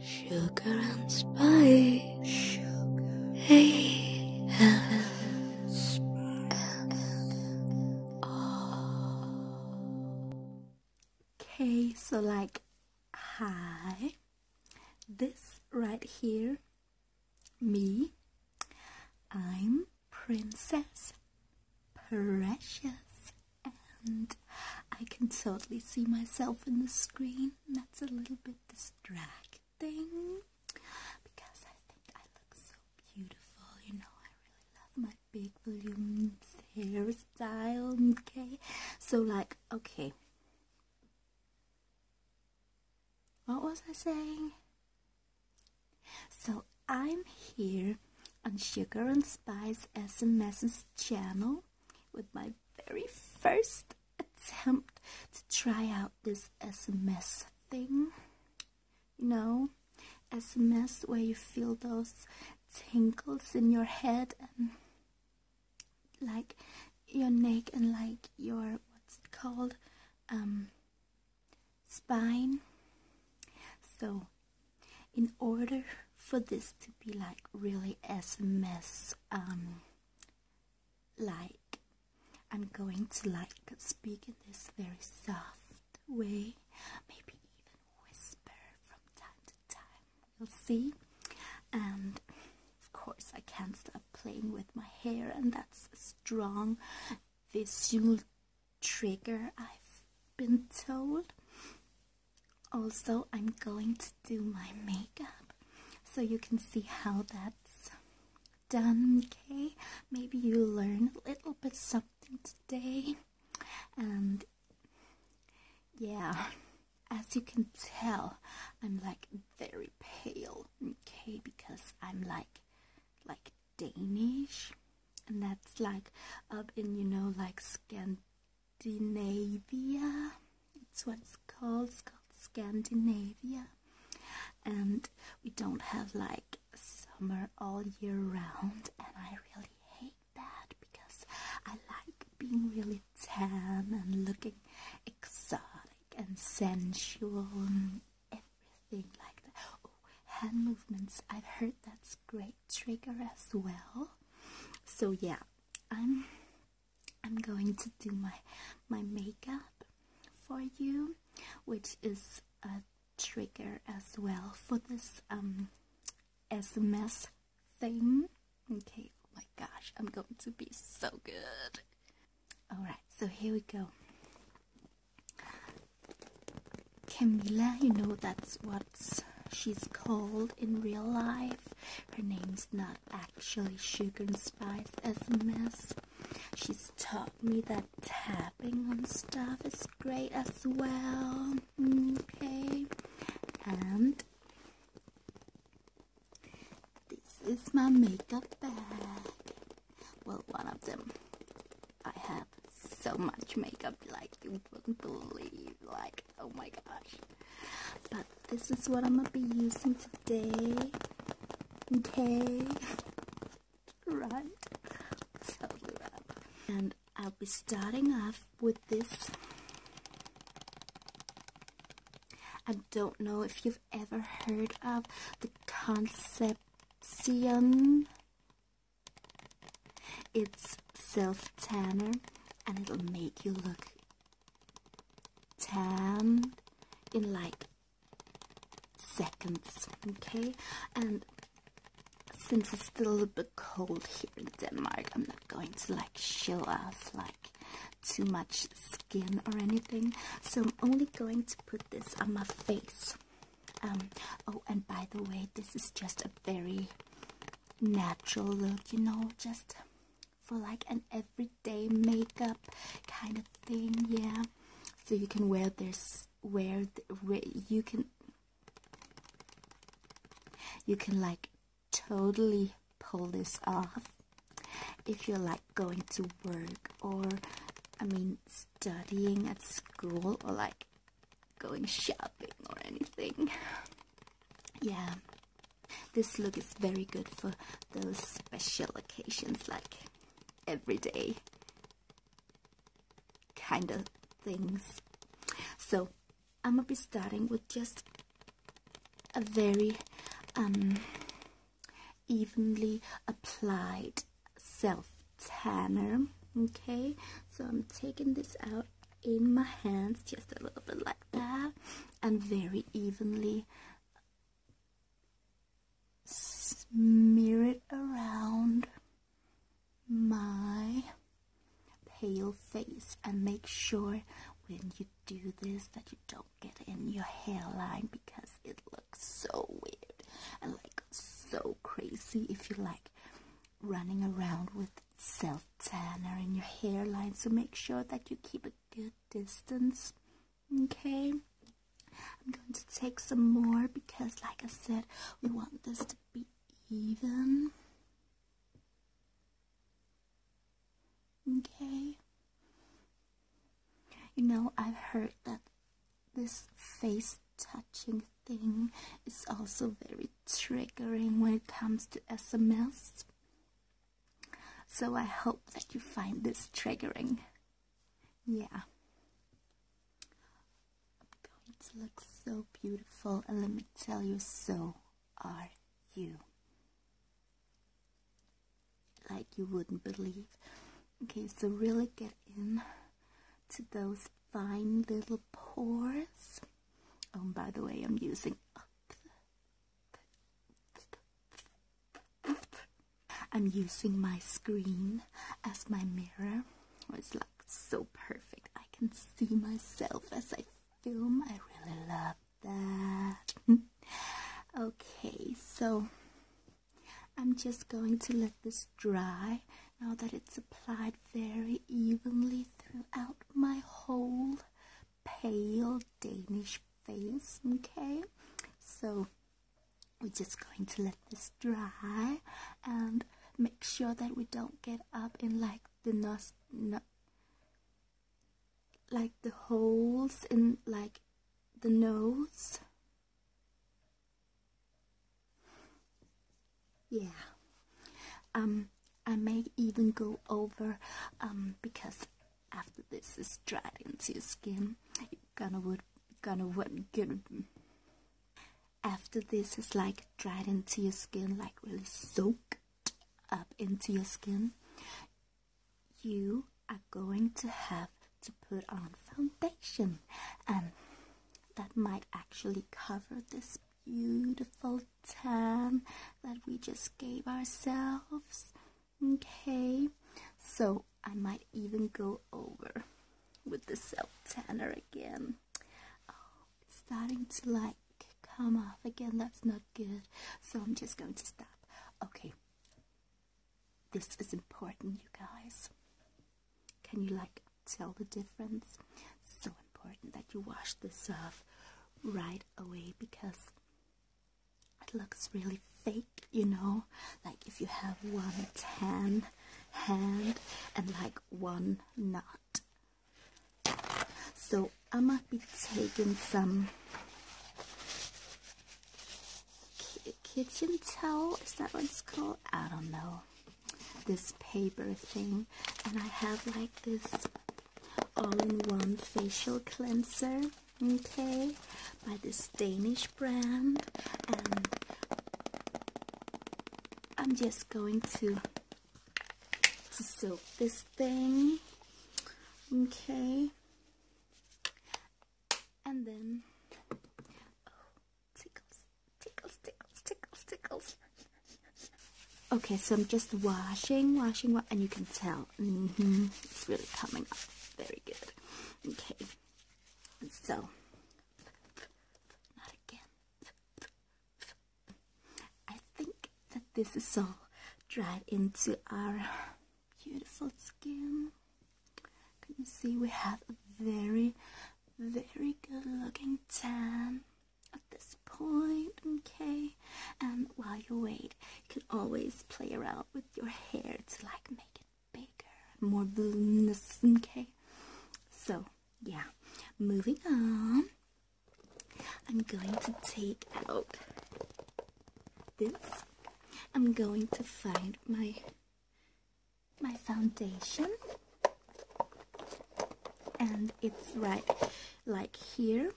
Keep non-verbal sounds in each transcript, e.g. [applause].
Sugar and spice. Sugar. Hey. Spice. Okay, so like, hi. This right here, me. I'm Princess Precious and I can totally see myself in the screen. That's a little bit distracting because I think I look so beautiful. You know, I really love my big volume hairstyle. Okay, so like, okay, what was I saying? So I'm here on Sugar and Spice SMS's channel with my very first attempt to try out this SMS thing. You know, SMS where you feel those tingles in your head and like your neck and like your what's it called um spine so in order for this to be like really SMS um like I'm going to like speak in this very soft way maybe even whisper from time to time we'll see and of course I can't stop playing with my hair and that's a strong visual trigger I've been told also, I'm going to do my makeup so you can see how that's done, okay? Maybe you learn a little bit something today. And yeah, as you can tell, I'm like very pale, okay? Because I'm like, like Danish. And that's like up in, you know, like Scandinavia Scandinavia. It's what's called, it's called Scandinavia. And we don't have like summer all year round. And I really hate that because I like being really tan and looking exotic and sensual and everything like that. Oh, hand movements. I've heard that's great trigger as well. So yeah. I'm I'm going to do my my makeup for you, which is a trigger as well for this um SMS thing. Okay, oh my gosh, I'm going to be so good. Alright, so here we go. Camila, you know that's what She's cold in real life. Her name's not actually Sugar and Spice SMS. She's taught me that tapping on stuff is great as well. Okay. And this is my makeup bag. Well, one of them. I have so much makeup, like you wouldn't believe. Like, oh my gosh. But this is what I'm gonna be using today. Okay. [laughs] right. Totally right. And I'll be starting off with this. I don't know if you've ever heard of the Concepcion. It's self-tanner and it'll make you look 10 in like seconds okay and since it's still a little bit cold here in Denmark I'm not going to like show off like too much skin or anything so I'm only going to put this on my face um oh and by the way this is just a very natural look you know just for like an everyday makeup kind of thing yeah so you can wear this wear, wear you can you can like totally pull this off if you're like going to work or I mean studying at school or like going shopping or anything yeah this look is very good for those special occasions like everyday kind of things. So I'm gonna be starting with just a very um, evenly applied self tanner. Okay, so I'm taking this out in my hands just a little bit like that and very evenly smear it around my pale face and make sure when you do this that you don't get in your hairline because it looks so weird and like so crazy if you like running around with self tanner in your hairline, so make sure that you keep a good distance. Okay, I'm going to take some more because, like I said, we want this to be even. Okay, you know, I've heard that this face touching thing is also very triggering when it comes to SMS. So I hope that you find this triggering. Yeah. Going to look so beautiful, and let me tell you, so are you. Like you wouldn't believe. Okay, so really get in to those fine little pores. Oh, by the way, I'm using up I'm using my screen as my mirror. It's like so perfect. I can see myself as I film. I really love that. [laughs] okay, so I'm just going to let this dry now that it's applied very evenly throughout my whole pale Danish face, okay? So we're just going to let this dry and make sure that we don't get up in like the nose, no like the holes in like the nose. Yeah. Um I may even go over um because after this is dried into your skin you gonna would gonna would get after this is like dried into your skin like really soak up into your skin you are going to have to put on foundation and that might actually cover this beautiful tan that we just gave ourselves. Okay, so I might even go over with the self tanner again. Oh, it's starting to like come off again. That's not good. So I'm just going to stop. Okay, this is important, you guys. Can you like tell the difference? So important that you wash this off right away because it looks really fake, you know? Like if you have one tan hand and like one not. So I might be taking some kitchen towel, is that what it's called? I don't know. This paper thing, and I have like this all-in-one facial cleanser okay by this Danish brand and I'm just going to to soak this thing okay and then oh, tickles tickles tickles tickles tickles Okay, so I'm just washing, washing, and you can tell. Mm-hmm, it's really coming up. Very good. Okay. So, not again. I think that this is all dried into our beautiful skin. Can you see we have a very, very good looking tan? at this point, okay? And um, while you wait, you can always play around with your hair to like make it bigger, more voluminous, okay? So, yeah, moving on. I'm going to take out this. I'm going to find my my foundation and it's right like here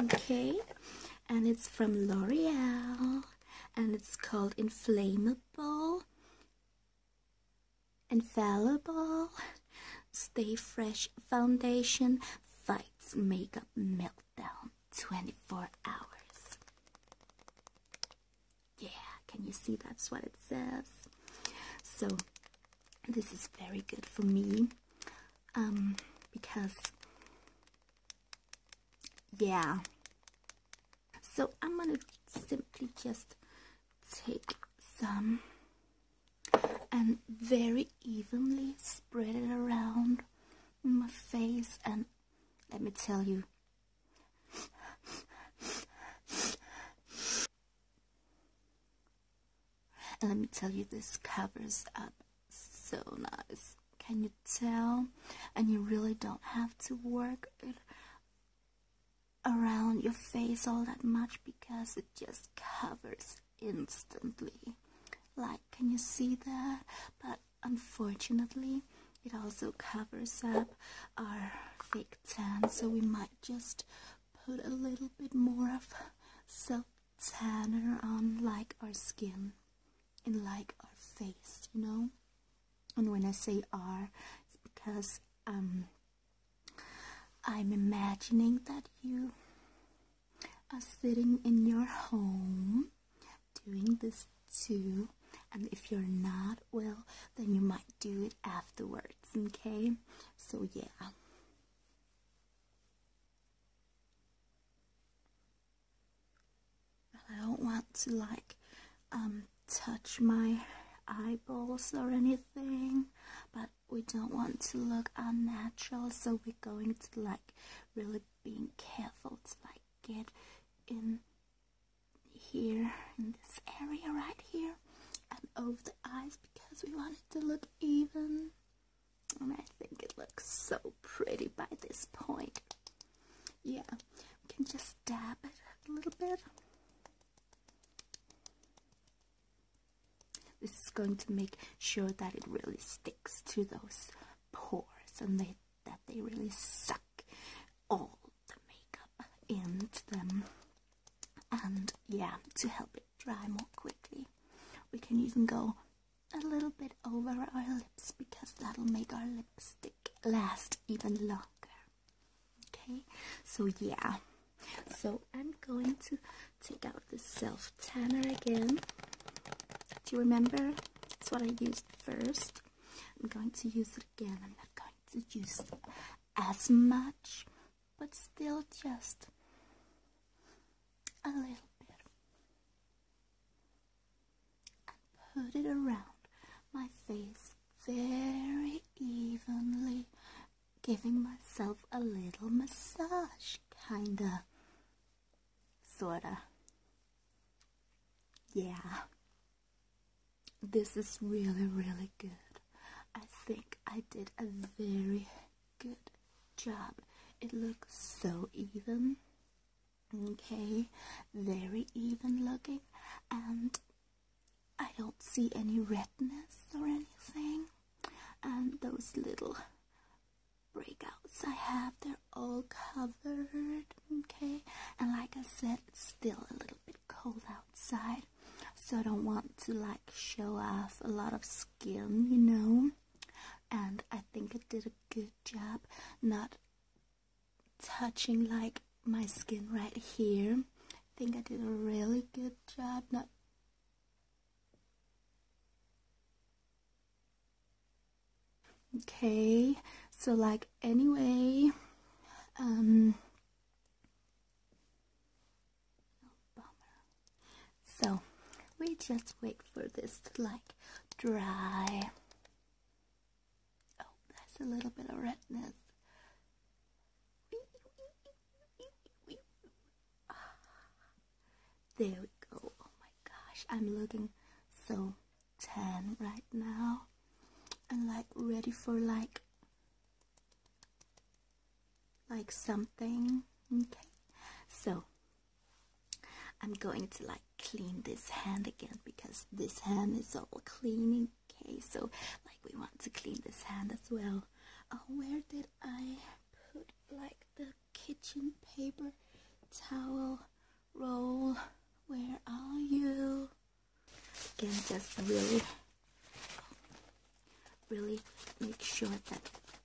okay and it's from L'Oreal and it's called inflammable infallible stay fresh foundation fights makeup meltdown 24 hours yeah can you see that's what it says so this is very good for me um, because yeah so I'm gonna simply just take some and very evenly spread it around my face and let me tell you let me tell you, this covers up so nice. Can you tell? And you really don't have to work around your face all that much because it just covers instantly. Like, can you see that? But unfortunately, it also covers up our fake tan, so we might just put a little bit more of self tanner on like our skin and like our face, you know. And when I say are, it's because um, I'm imagining that you are sitting in your home doing this too. And if you're not, well, then you might do it afterwards, okay? So, yeah. I don't want to like um, touch my eyeballs or anything but we don't want to look unnatural so we're going to like really being careful to like get in here in this area right here and over the eyes because we want it to look even and I think it looks so pretty by this point. Yeah, we can just dab it a little bit. This is going to make sure that it really sticks to those pores and they, that they really suck all the makeup into them. And yeah, to help it dry more quickly. We can even go a little bit over our lips because that'll make our lipstick last even longer. Okay, so yeah, so I'm going to take out the self tanner again. Do you remember? That's what I used first. I'm going to use it again. I'm not going to use as much, but still just a little bit and put it around my face very evenly, giving myself a little massage, kinda, sorta. Yeah, this is really, really good. I think I did a very Good job. It looks so even. Okay, very even looking, and I don't see any redness or anything. And those little breakouts I have, they're all covered. Okay, and like I said, it's still a little bit cold outside, so I don't want to like show off a lot of skin, you know and I think I did a good job not touching like my skin right here. I think I did a really good job not okay so like anyway um oh, so we just wait for this to like dry. Oh, that's a little bit of redness. There we go. Oh my gosh, I'm looking so tan right now. And like ready for like like something. Okay. So I'm going to like clean this hand again because this hand is all cleaning. Okay, so like we want to clean this hand as well. Oh, where did I put like the kitchen paper towel roll? Where are you? Can just really, really make sure that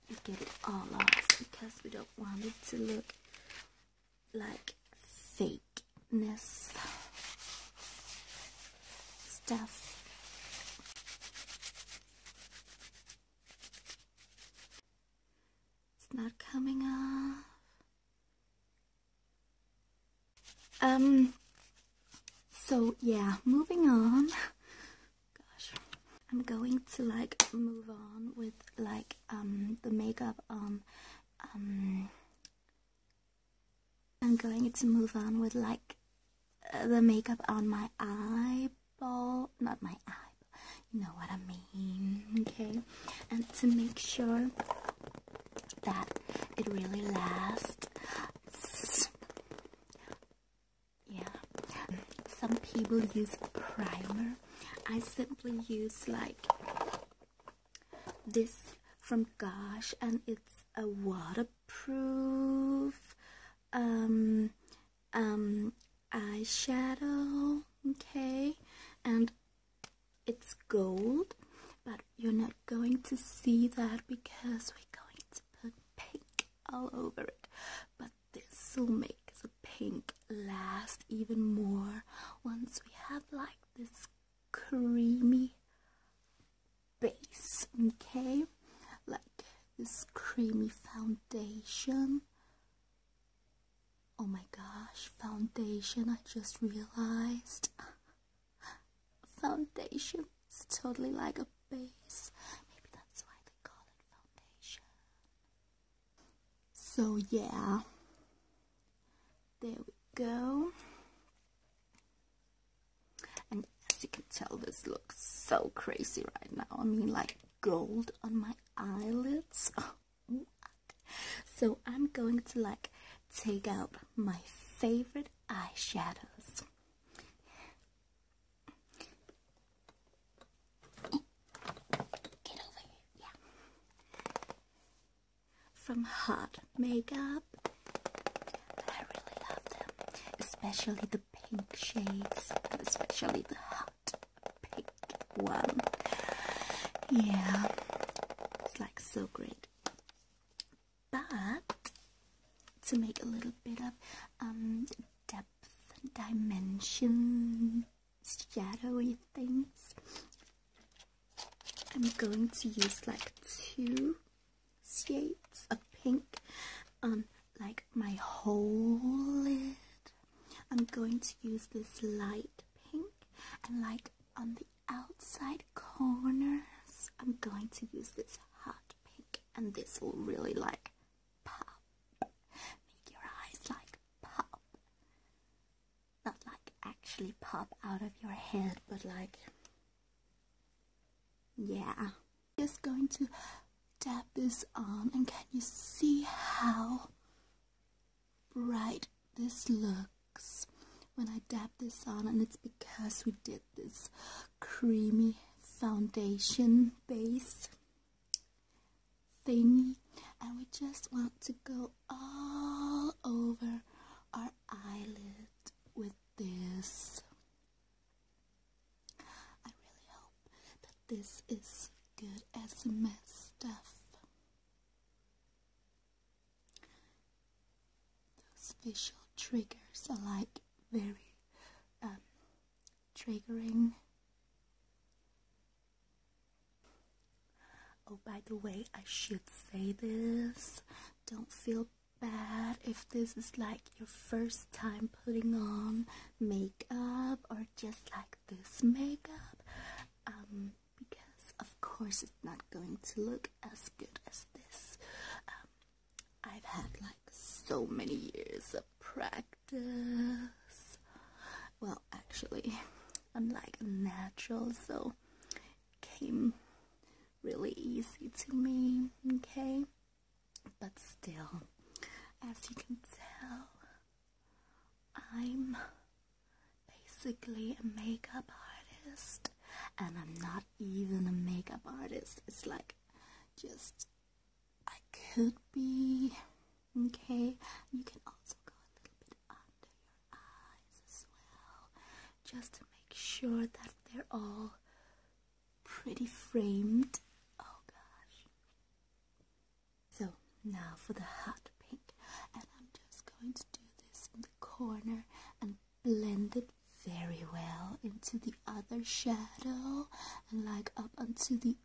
we get it all off because we don't want it to look like fakeness stuff. It's not coming off. Um, so yeah, moving on gosh i'm going to like move on with like um the makeup um um i'm going to move on with like uh, the makeup on my eyeball not my eye you know what i mean okay and to make sure that it really lasts yeah some people use primer i simply use like this from gosh and it's a waterproof um um eyeshadow okay and it's gold but you're not going to see that because we're going to put pink all over it but this will make the pink last even more once we have like this creamy base, okay? Like this creamy foundation. Oh my gosh, foundation, I just realized. [laughs] Foundation, is totally like a base. Maybe that's why they call it foundation. So yeah, there we go. And as you can tell, this looks so crazy right now. I mean, like gold on my eyelids. [laughs] Oh, so I'm going to like take out my favorite eyeshadows. Get From hot makeup. I really love them. Especially the pink shades. especially the hot pink one. Yeah. It's like so great. But to make a little bit of um depth and dimension shadowy things. I'm going to use like two shades of pink on like my whole lid. I'm going to use this light pink and like on the outside corners I'm going to use this hot pink and this will really like pop. Make your eyes like pop. Not like actually pop out of your head, but like. Yeah. Just going to dab this on, and can you see how bright this looks when I dab this on? And it's because we did this creamy foundation base thingy and we just want to go all over our eyelid with this. I really hope that this is good as mess stuff. Those facial triggers are like very um, triggering. Oh, by the way, I should say this. Don't feel bad if this is like your first time putting on makeup or just like this makeup. Um, because of course it's not going to look as good as this. Um, I've had like so many years of practice practice. Well, actually, I'm like a natural, so came really easy to me, okay? But still, as you can tell, I'm basically a makeup artist, and I'm not even a makeup artist. It's like just I could be. Okay, you can also go a little bit under your eyes as well, just to make sure that they're all pretty framed. Oh gosh. So now for the hot pink, and I'm just going to do this in the corner and blend it very well into the other shadow and like up onto the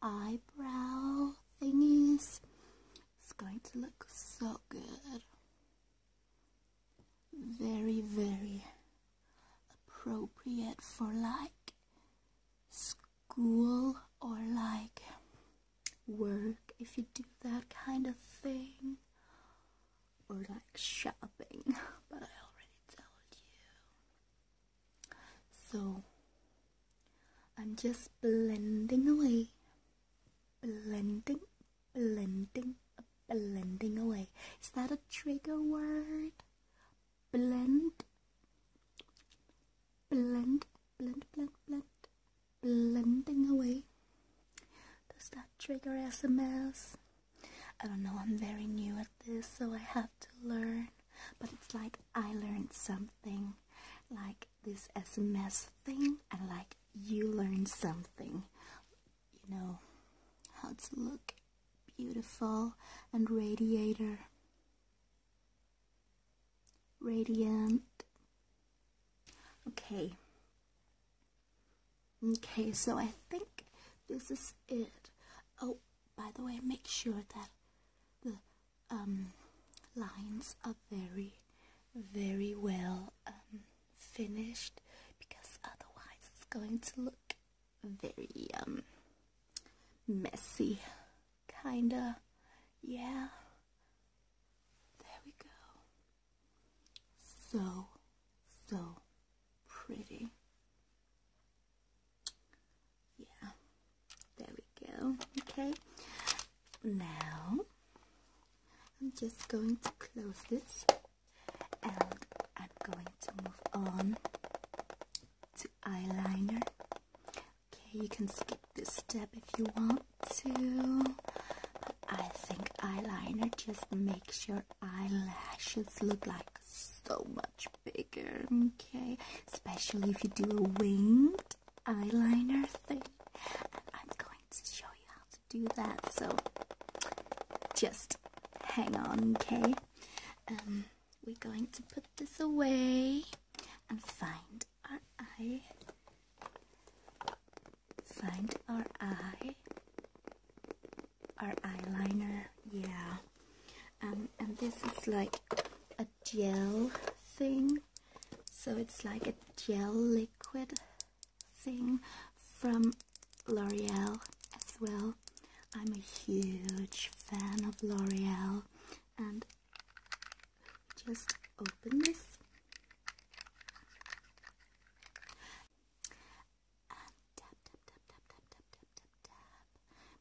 eyebrow thingies. It's going to look so good. Very, very appropriate for like school or like work if you do that kind of thing or like shopping [laughs] but I already told you so I'm just blending away, blending, blending, blending away. Is that a trigger word? Blend, blend, blend, blend, blend, blending away. Does that trigger SMS? I don't know, I'm very new at this, so I have to learn. But it's like I learned something, like this SMS thing, and like you learned something. You know, how to look beautiful and radiator. Radiant. Okay. Okay, so I think this is it. Oh, by the way make sure that the um, lines are very very well um, finished because otherwise it's going to look very um, messy kinda yeah there we go so so pretty yeah there we go okay now I'm just going to close this and I'm going to move on to eyeliner okay you can skip this step if you want to but I think eyeliner just makes your eyelashes look like so much bigger, okay? Especially if you do a winged eyeliner thing. I'm going to show you how to do that, so just hang on, okay? Um, we're going to put this away and find our eye. Find our eye. Our eyeliner, yeah. Um, and this is like a gel thing so it's like a gel liquid thing from L'Oreal as well I'm a huge fan of L'Oreal and just open this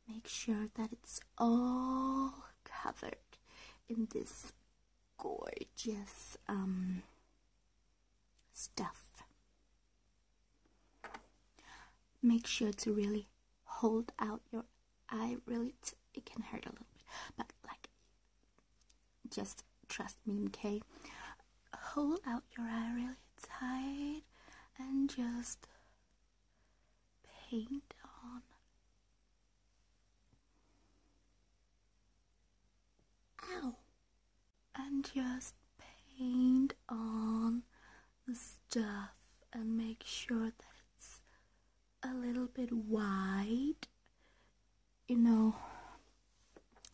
make sure that it's all covered in this gorgeous um stuff make sure to really hold out your eye really it can hurt a little bit but like just trust me okay hold out your eye really tight and just paint on. Ow! And just paint on the stuff and make sure that it's a little bit wide, you know,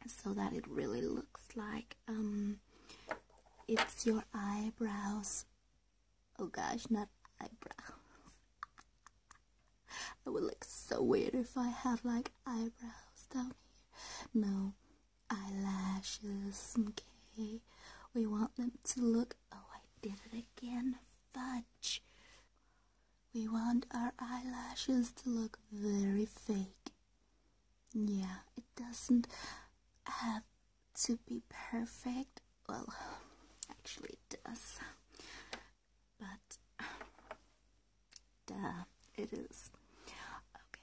so that it really looks like um, it's your eyebrows Oh gosh, not eyebrows. I would look so weird if I had like eyebrows down here. No, eyelashes, okay? We want them to look. Oh, I did it again. Fudge. We want our eyelashes to look very fake. Yeah, it doesn't have to be perfect. Well, actually, it does. But, duh, it is. Okay.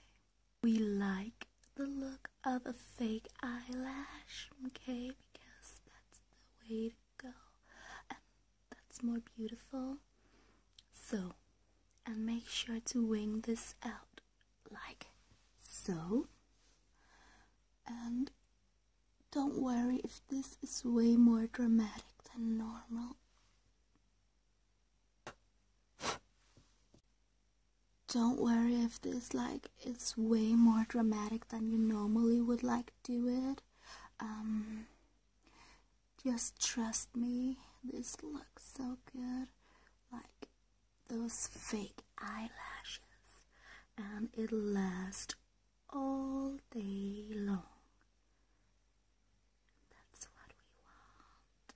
We like the look of a fake eyelash, okay? Because that's the way to go. And that's more beautiful. So, and make sure to wing this out like so. And don't worry if this is way more dramatic than normal. Don't worry if this like is way more dramatic than you normally would like do it. Um, just trust me, this looks so good. Like those fake eyelashes and it'll last all day long. That's what we want.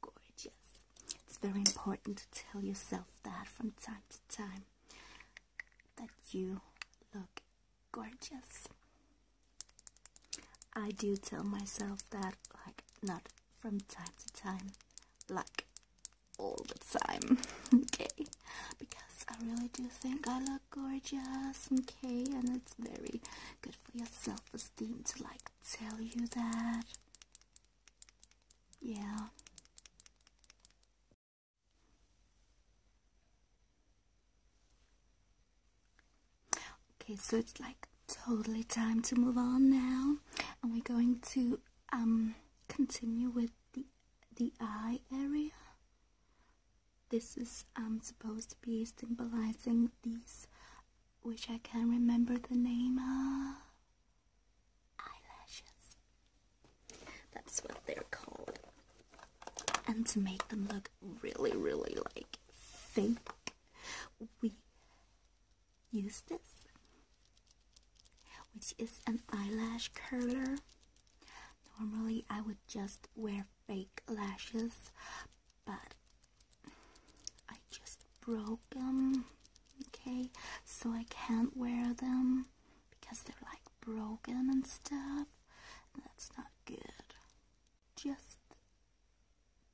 Gorgeous. It's very important to tell yourself that from time to time that you look gorgeous. I do tell myself that, like, not from time to time, like all the time, [laughs] okay? Because I really do think I look gorgeous, okay? And it's very good for your self esteem to, like, tell you that. Yeah. Okay, so it's like totally time to move on now, and we're going to um continue with the the eye area. This is um supposed to be symbolizing these, which I can't remember the name of. Eyelashes. That's what they're called. And to make them look really, really like fake we use this, which is an eyelash curler. Normally, I would just wear fake lashes, but I just broke them, okay, so I can't wear them because they're like broken and stuff. that's not good just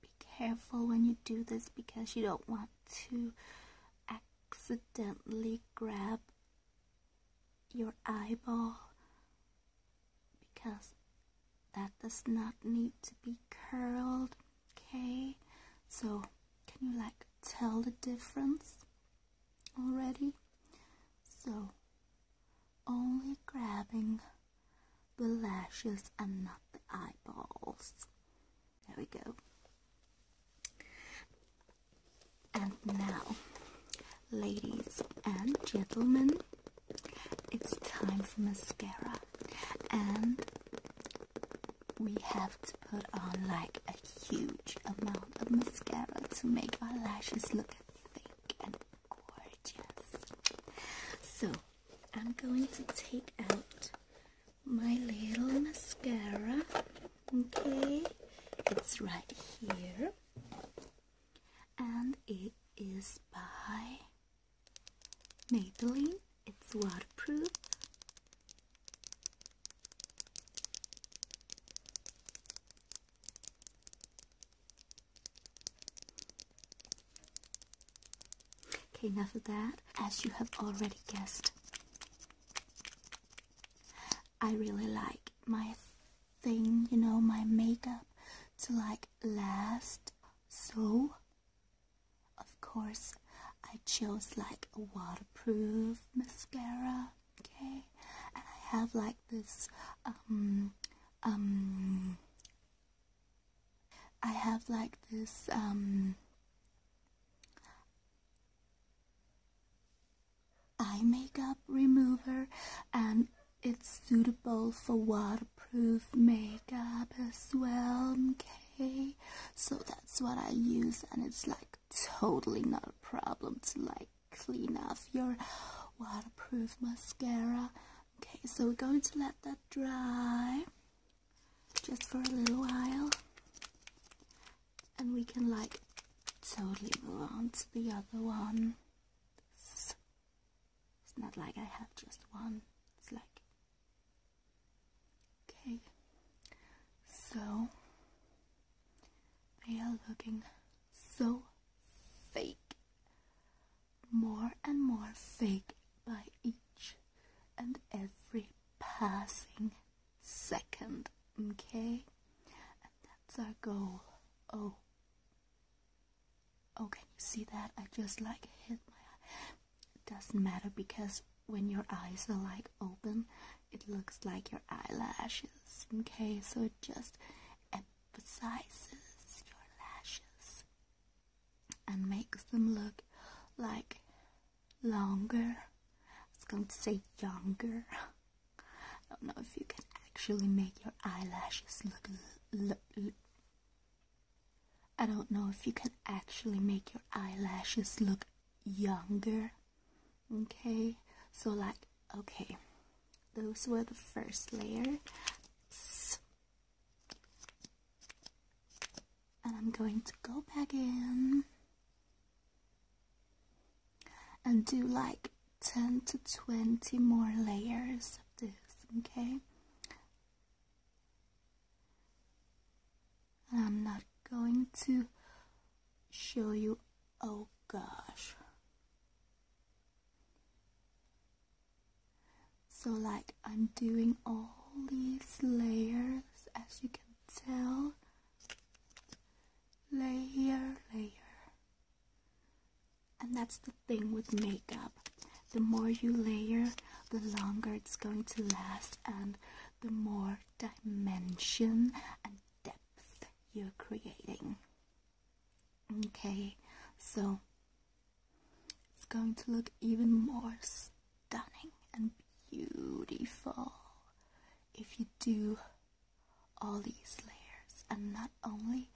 be careful when you do this because you don't want to accidentally grab your eyeball because that does not need to be curled okay so can you like tell the difference already so only grabbing the lashes and not the eyeballs. There we go. And now, ladies and gentlemen, it's time for mascara. And we have to put on like a huge amount of mascara to make our lashes look thick and gorgeous. So I'm going to take out my little mascara. Okay, it's right here, and it is by Maybelline. It's waterproof. Okay, enough of that. As you have already guessed, I really like my thing, you know, my makeup to like last. So, of course, I chose like a waterproof mascara, okay? And I have like this, um, um, I have like this um, eye makeup remover and it's suitable for waterproof makeup as well okay so that's what I use and it's like totally not a problem to like clean off your waterproof mascara okay so we're going to let that dry just for a little while and we can like totally move on to the other one it's not like I have just one it's like okay so they are looking so fake more and more fake by each and every passing second, okay? And that's our goal. Oh. Oh, can you see that? I just like hit my eye. doesn't matter because when your eyes are like open, it looks like your eyelashes, okay? So it just emphasizes your lashes and makes them look like longer. It's going to say younger. I don't know if you can actually make your eyelashes look, look. I don't know if you can actually make your eyelashes look younger. Okay, so like, okay, those were the first layer. And I'm going to go back in and do like 10 to 20 more layers of this, okay? And I'm not going to show you, oh gosh. So like I'm doing all these layers as you can tell. Layer, layer. And that's the thing with makeup. The more you layer, the longer it's going to last and the more dimension and depth you're creating. Okay, so it's going to look even more stunning and beautiful if you do all these layers and not only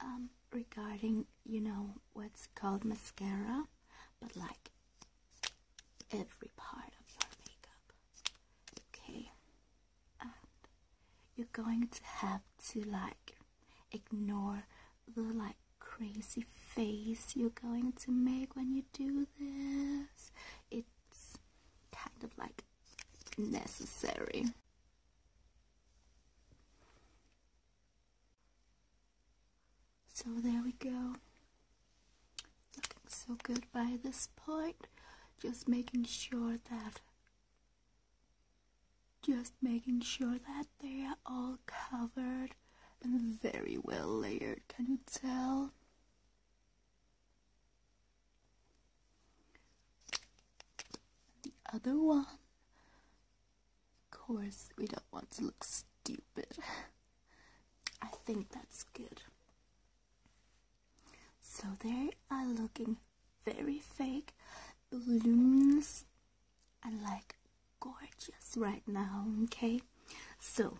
um, regarding you know what's called mascara but like every part of your makeup okay and you're going to have to like Ignore the like crazy face you're going to make when you do this. It's kind of like necessary. So there we go. Looking so good by this point. Just making sure that just making sure that they are all covered and very well layered, can you tell? The other one. Of course, we don't want to look stupid. I think that's good. So they are looking very fake. Balloons and like gorgeous right now, okay? So,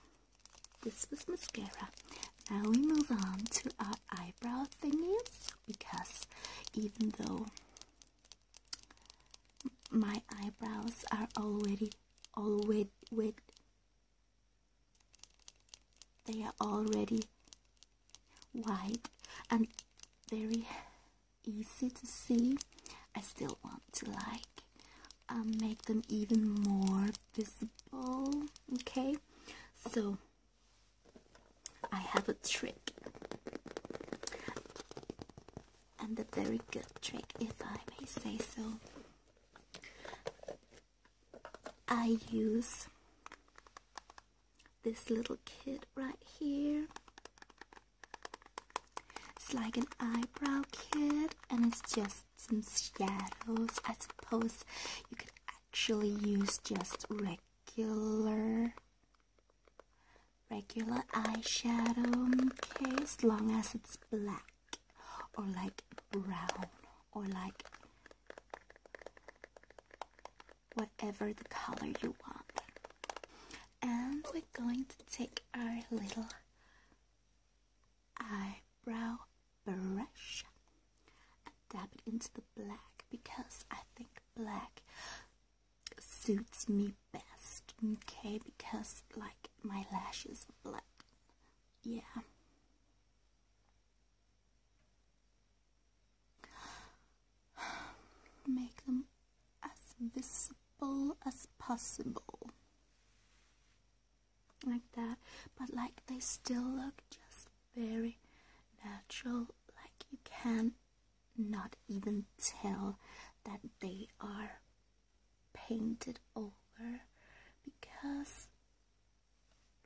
this was mascara. Now we move on to our eyebrow thingies because even though my eyebrows are already already with they are already wide and very easy to see I still want to like um, make them even more visible okay so I have a trick and a very good trick if I may say so I use this little kit right here it's like an eyebrow kit, and it's just some shadows. I suppose you could actually use just regular regular eyeshadow okay as long as it's black or like brown or like whatever the color you want and we're going to take our little eyebrow brush and dab it into the black because I think black suits me best, okay? Because like my lashes are black, yeah. Make them as visible as possible. Like that, but like they still look just very natural, like you can not even tell that they are painted over because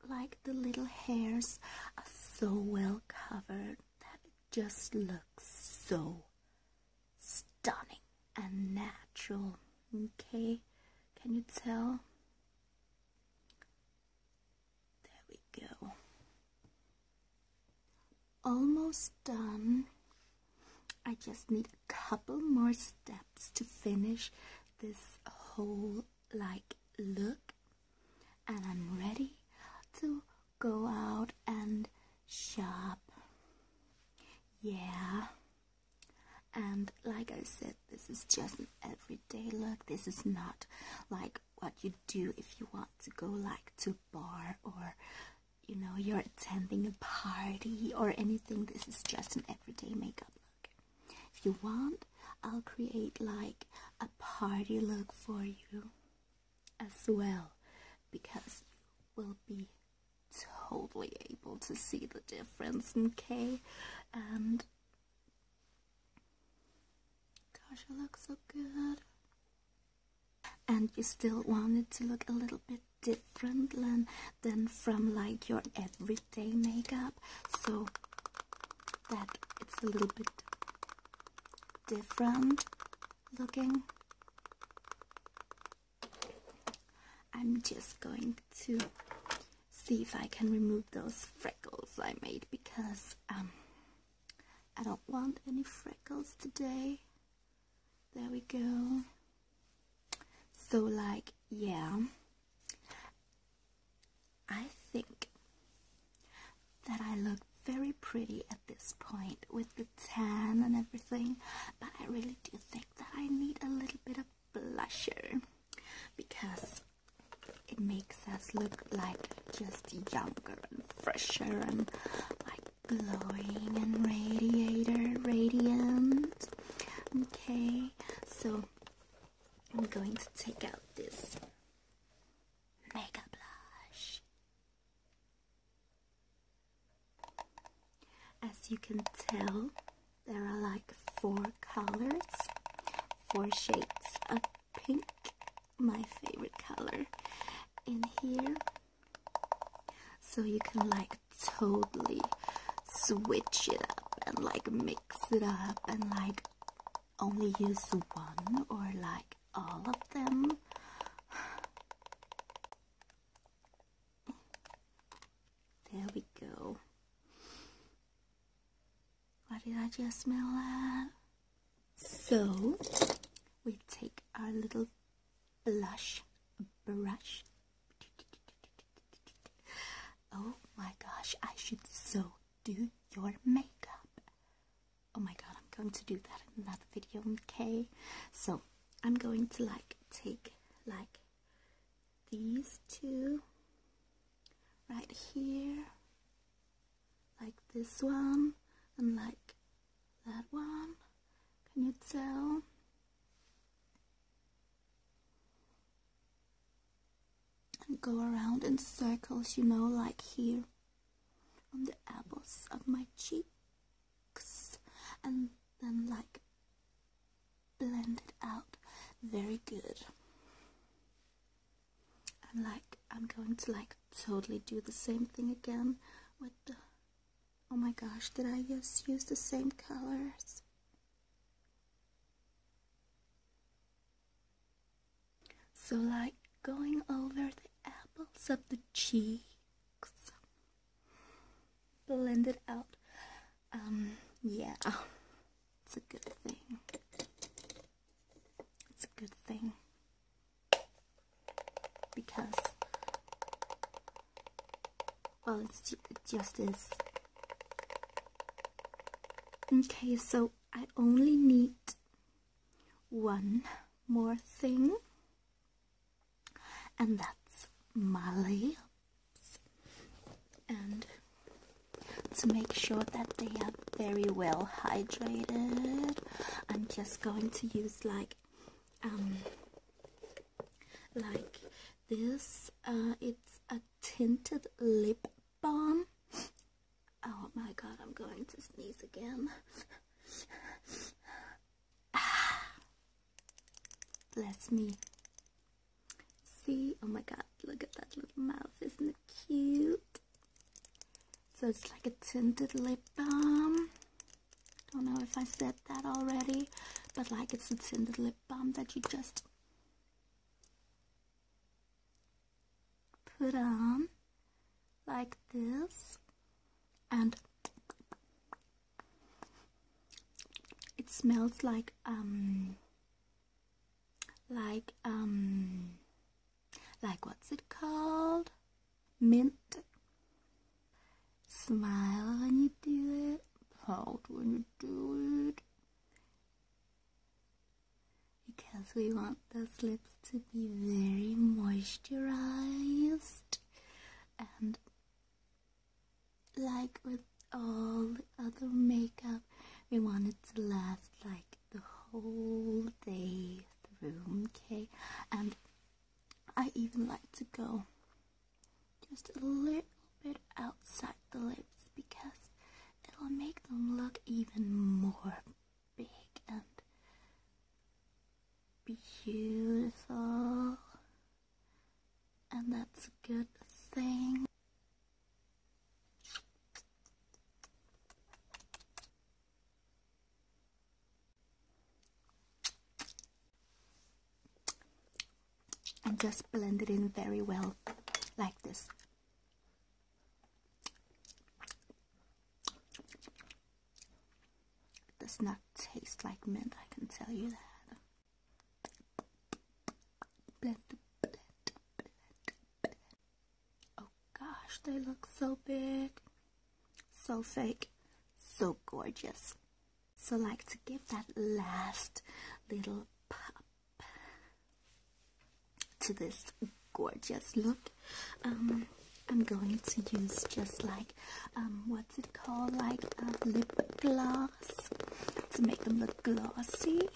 like the little hairs are so well covered that it just looks so stunning and natural. Okay, can you tell? There we go. Almost done. I just need a couple more steps to finish this whole like look and I'm ready to go out and shop. Yeah. And like I said, this is just an everyday look. This is not like what you do if you want to go like to bar or you know you're attending a party or anything. This is just an everyday makeup look. If you want, I'll create like a party look for you as well because you will be totally able to see the difference, in K And gosh, you look so good. And you still want it to look a little bit different than, than from like your everyday makeup. So that it's a little bit different looking. I'm just going to see if I can remove those freckles I made because um, I don't want any freckles today. There we go. So like, yeah, I think that I look very pretty at this point with the tan and everything, but I really do think that I need a little bit of blusher because it makes us look like just younger and fresher and like glowing and radiator radiant. Okay, so I'm going to take out this mega blush. As you can tell, there are like four colors, four shades of pink, my favorite color, in here. So you can like totally switch it up and like mix it up and like only use one or like all of them. There we go. What did I just smell at? So, we take our little blush brush. Oh my gosh, I should so do your makeup oh my god i'm going to do that in another video okay so i'm going to like take like these two right here like this one and like that one can you tell and go around in circles you know like here on the apples of my cheek and then like blend it out very good and like I'm going to like totally do the same thing again with the oh my gosh did I just use the same colors so like going over the apples of the cheeks blend it out. Um, yeah, it's a good thing. It's a good thing because well, it's just is. Okay, so I only need one more thing and that's my lips and to make sure that they are very well hydrated I'm just going to use like um like this uh, it's a tinted lip balm oh my god I'm going to sneeze again [sighs] bless me. See, oh my god, look at that little mouth, isn't it cute? So it's like a tinted lip balm. Don't know if I said that already, but like it's a tinted lip balm that you just put on like this and it smells like um like um like what's it called mint smile when you do it Hold when you do it because we want those lips to be very moisturized and like with all the other makeup, we want it to last like the whole day through, okay? And I even like to go just a little bit outside the lips because it'll make them look even more big and beautiful, and that's a good thing. And just blend it in very well, like this. It does not taste like mint, I can tell you that. Oh gosh, they look so big, so fake, so gorgeous. So like to give that last little pop to this gorgeous look. Um, I'm going to use just like um, what's it called, like a uh, lip gloss to make them look glossy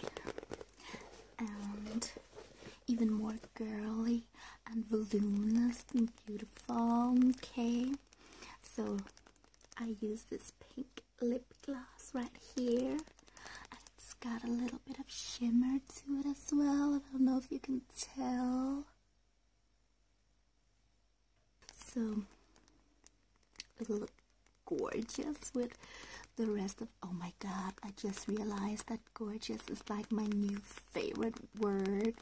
and even more girly and voluminous and beautiful. Okay, so I use this pink lip gloss right here. it's got a little bit of shimmer to it as well. I don't know if you can tell. So it'll look gorgeous with the rest of oh my god I just realized that gorgeous is like my new favorite word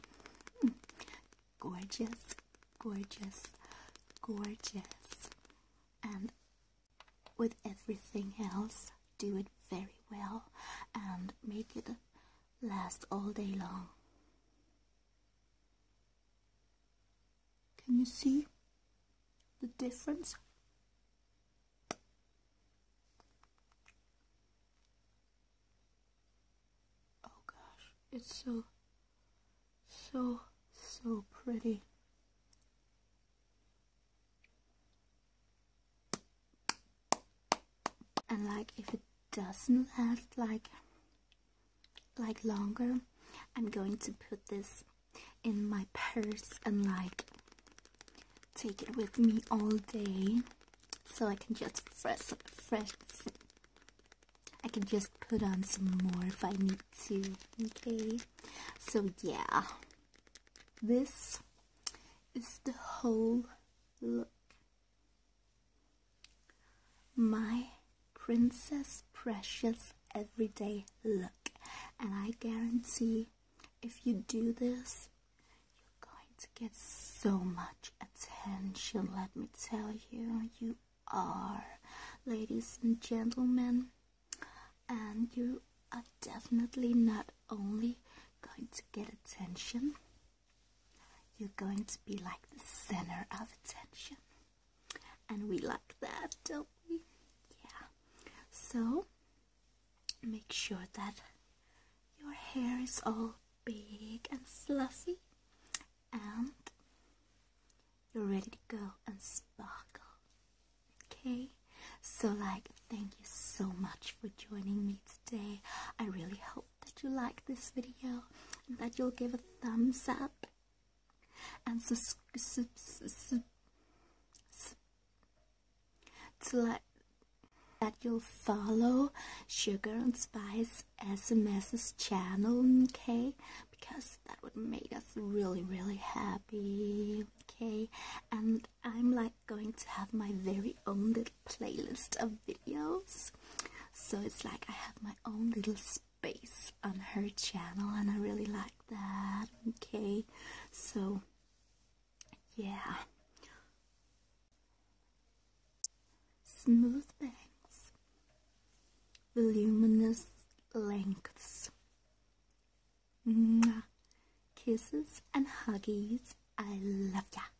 gorgeous gorgeous gorgeous and with everything else do it very well and make it last all day long. Can you see the difference? Oh gosh, it's so, so, so pretty and like if it doesn't last like like longer I'm going to put this in my purse and like take it with me all day so I can just fresh fresh I can just put on some more if I need to okay so yeah this is the whole look my princess precious everyday look, and I guarantee if you do this, you're going to get so much attention. Let me tell you, you are, ladies and gentlemen, and you are definitely not only going to get attention, you're going to be like the center of attention. And we like that, don't we? Yeah. So, make sure that your hair is all big and fluffy. And you're ready to go and sparkle. Okay? So, like, thank you so much for joining me today. I really hope hope that you like this video and that you'll give a thumbs up and subscribe to like that you'll follow Sugar and Spice SMS's channel, okay? Because that would make us really, really happy, okay? And I'm like going to have my very own playlist of videos. So it's like I have my own little space on her channel, and I really like that. Okay, so yeah. Smooth bangs, voluminous lengths, kisses and huggies. I love ya.